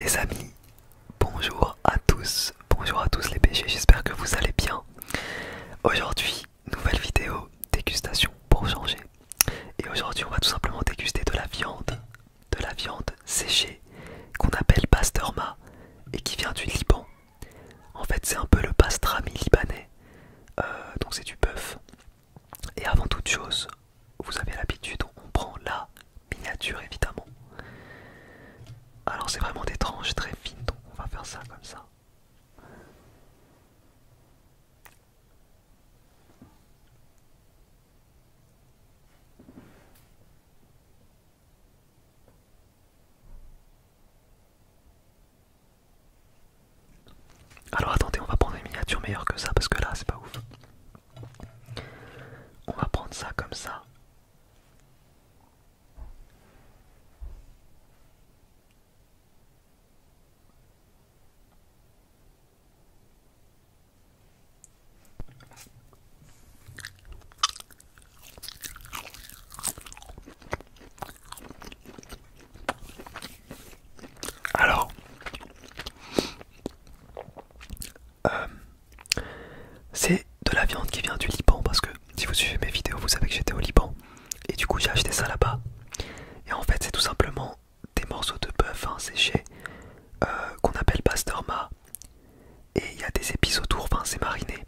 Les amis, bonjour à tous, bonjour à tous les PG, j'espère que vous allez bien. Aujourd'hui, nouvelle vidéo dégustation pour changer. Et aujourd'hui, on va tout simplement déguster de la viande, de la viande séchée qu'on appelle pastorma et qui vient du Liban. En fait, c'est un peu le pastrami libanais, euh, donc c'est du bœuf. Et avant toute chose, vous avez l'habitude, on prend la miniature évidemment. Alors c'est vraiment des tranches très fines, donc on va faire ça comme ça. Alors attendez, on va prendre une miniature meilleure que ça parce que là c'est pas ouf. On va prendre ça comme ça. Alors, euh, c'est de la viande qui vient du Liban parce que si vous suivez mes vidéos vous savez que j'étais au Liban et du coup j'ai acheté ça là-bas et en fait c'est tout simplement des morceaux de bœuf hein, séchés euh, qu'on appelle Ma et il y a des épices autour, c'est mariné.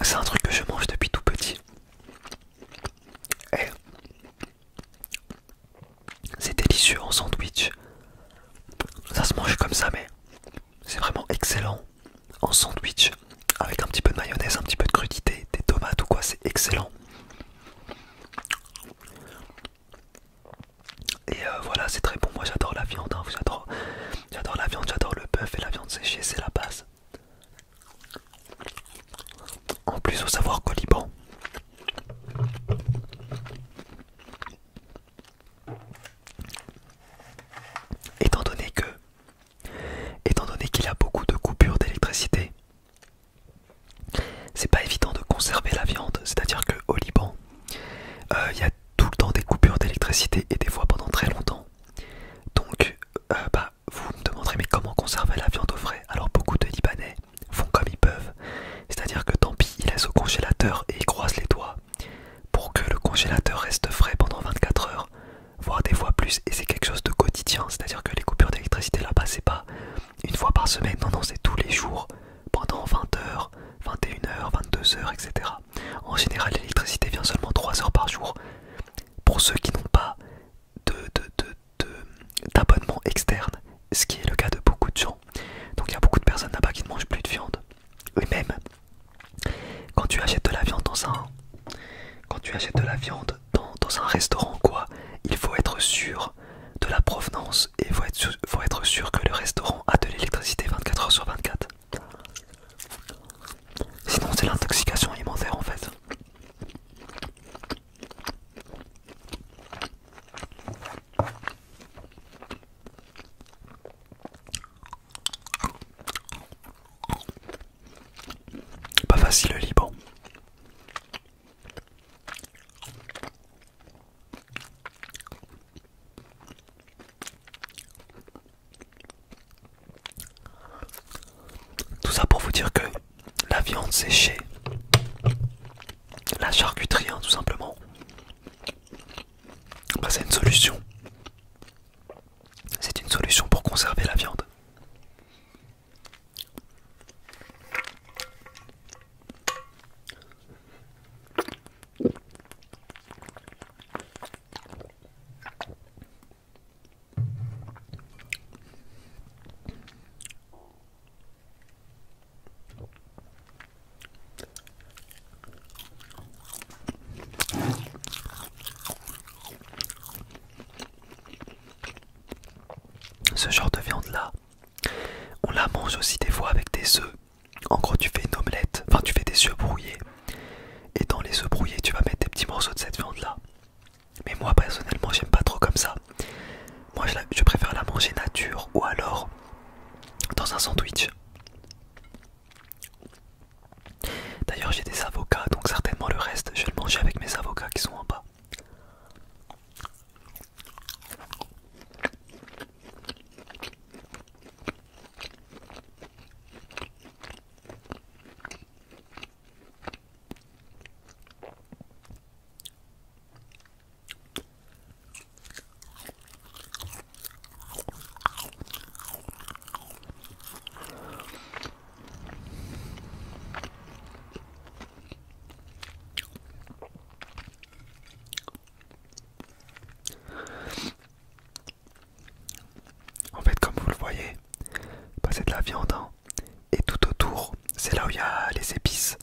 C'est un truc que je mange depuis tout petit. C'est délicieux en sandwich. Ça se mange comme ça, mais c'est vraiment excellent en sandwich avec un petit peu de mayonnaise, un petit peu de crudité, des tomates ou quoi, c'est excellent. Et euh, voilà, c'est très bon. Moi j'adore la viande, hein. j'adore la viande, j'adore le bœuf et la viande séchée, c'est la base. En plus, au savoir coliban. Étant donné qu'il y a beaucoup de coupures d'électricité, c'est pas évident de conserver la viande. C'est-à-dire que au Liban, euh, il y a tout le temps des coupures d'électricité et des fois pendant très longtemps. Donc, euh, bah, vous me demanderez mais comment conserver la viande au frais Alors beaucoup de Libanais font comme ils peuvent. C'est-à-dire que tant pis, ils laissent au congélateur et ils croisent les doigts pour que le congélateur reste frais pendant 24 heures, voire des fois plus. Et c'est quelque chose de quotidien, c'est-à-dire que les coupures d'électricité là-bas, c'est pas une fois par semaine, non, non, c'est tous les jours pendant 20 heures, 21 heures, 22 heures, etc. En général, l'électricité vient seulement 3 heures par jour pour ceux qui n'ont pas d'abonnement de, externe, ce qui est le cas de beaucoup de gens donc il y a beaucoup de personnes là-bas qui ne mangent plus de viande. Oui même quand tu achètes de la viande dans un, quand tu achètes de la viande dans, un restaurant quoi, il faut être sûr de la provenance et faut être, faut être sûr que le restaurant a de l'électricité 24 heures sur 24. Sinon c'est l'intoxication alimentaire en fait. Pas facile le Liban. Tout ça pour vous dire que la viande séchée, la charcuterie hein, tout simplement, bah, c'est une solution. C'est une solution pour conserver la viande. Ce genre de viande là, on la mange aussi des fois avec des œufs. En gros, tu fais une omelette, enfin, tu fais des œufs brouillés, et dans les œufs brouillés, tu vas mettre des petits morceaux de cette viande là. Mais moi personnellement, j'aime pas trop comme ça. Moi, je préfère la manger nature ou alors dans un sandwich. D'ailleurs, j'ai des avocats, donc certainement le reste, je vais le manger avec mes avocats qui sont en bas. En fait, comme vous le voyez, passer c'est de la viande hein, et tout autour, c'est là où il y a les épices.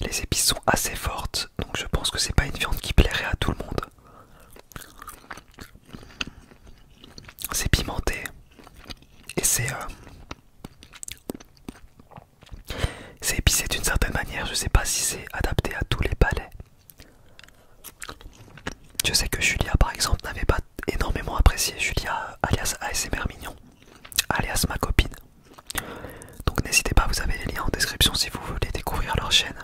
Les épices sont assez fortes, donc je pense que c'est pas une viande qui plairait à tout le monde. C'est pimenté et c'est euh, c'est épicé d'une certaine manière. Je sais pas si c'est adapté à tous les palais. Je sais que Julia par exemple n'avait pas énormément apprécié Julia alias ASMR Mignon, alias ma copine. Donc n'hésitez pas, vous avez les liens en description si vous voulez découvrir leur chaîne.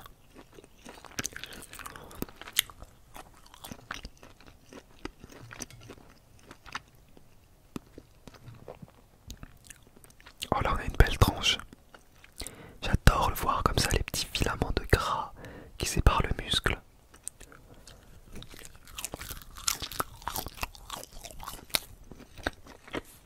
Oh là on a une belle tranche. J'adore le voir comme ça, les petits filaments de gras qui séparent le muscle.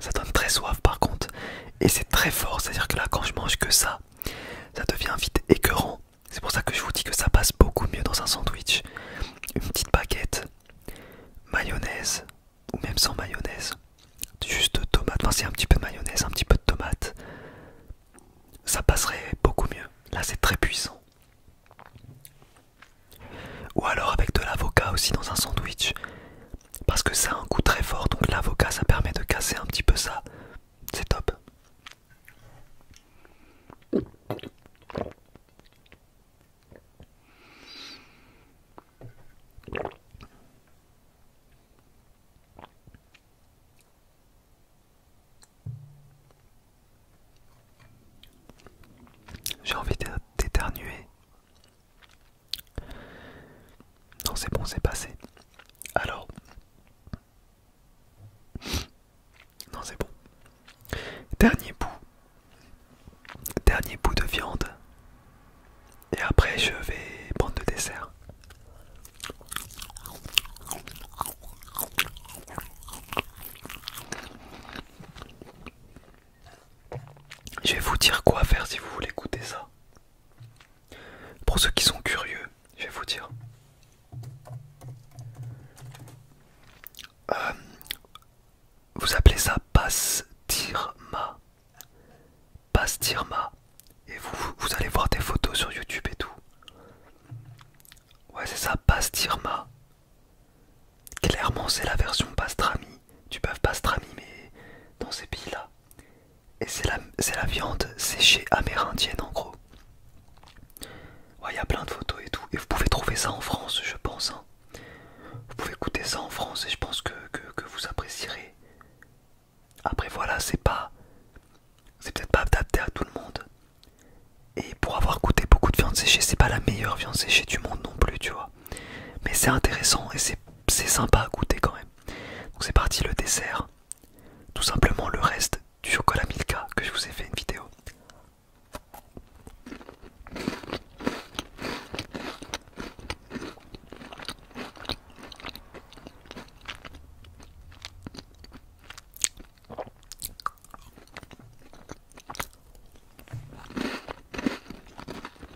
Ça donne très soif par contre. Et c'est très fort, c'est-à-dire que là quand je mange que ça, ça devient vite écœurant. C'est pour ça que je vous dis que ça passe beaucoup mieux dans un sandwich. Une petite baguette, mayonnaise, ou même sans mayonnaise. Juste tomate, enfin c'est un petit peu de mayonnaise, un petit peu de tomate. Ça passerait beaucoup mieux. Là c'est très puissant. Ou alors avec de l'avocat aussi dans un sandwich parce que ça a un coup très fort donc l'avocat ça permet de casser un petit peu ça c'est top j'ai envie d'éternuer non, c'est bon, c'est passé. Alors... Non, c'est bon. Dernier bout. Dernier bout de viande. Et après, je vais prendre le dessert. Je vais vous dire quoi faire si vous voulez goûter ça. Pour ceux qui sont curieux, je vais vous dire. Euh, vous appelez ça Bastirma. Bastirma. Et vous, allez voir des photos sur YouTube et tout. Ouais, c'est ça, Pastirma, Clairement, c'est la version Pastrami tu peux pas se mais dans ces pays-là. Et c'est la, viande séchée amérindienne en gros. Il y a plein de photos et tout. Et vous pouvez trouver ça en France, je pense. Hein. Vous pouvez goûter ça en France et je pense que, vous apprécierez. Après voilà, c'est pas... C'est peut-être pas adapté à tout le monde. Et pour avoir goûté beaucoup de viande séchée, c'est pas la meilleure viande séchée du monde non plus, tu vois. Mais c'est intéressant et c'est sympa à goûter quand même. Donc c'est parti le dessert. Tout simplement le reste du chocolat Milka que je vous ai fait une vidéo.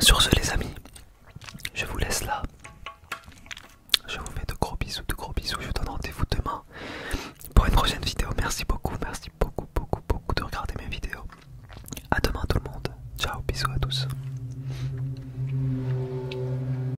Sur ce les amis, je vous laisse là. Je vous fais de gros bisous, de gros bisous. Je vous donne rendez-vous demain pour une prochaine vidéo. Merci beaucoup, merci beaucoup, beaucoup, beaucoup de regarder mes vidéos. A demain tout le monde. Ciao, bisous à tous.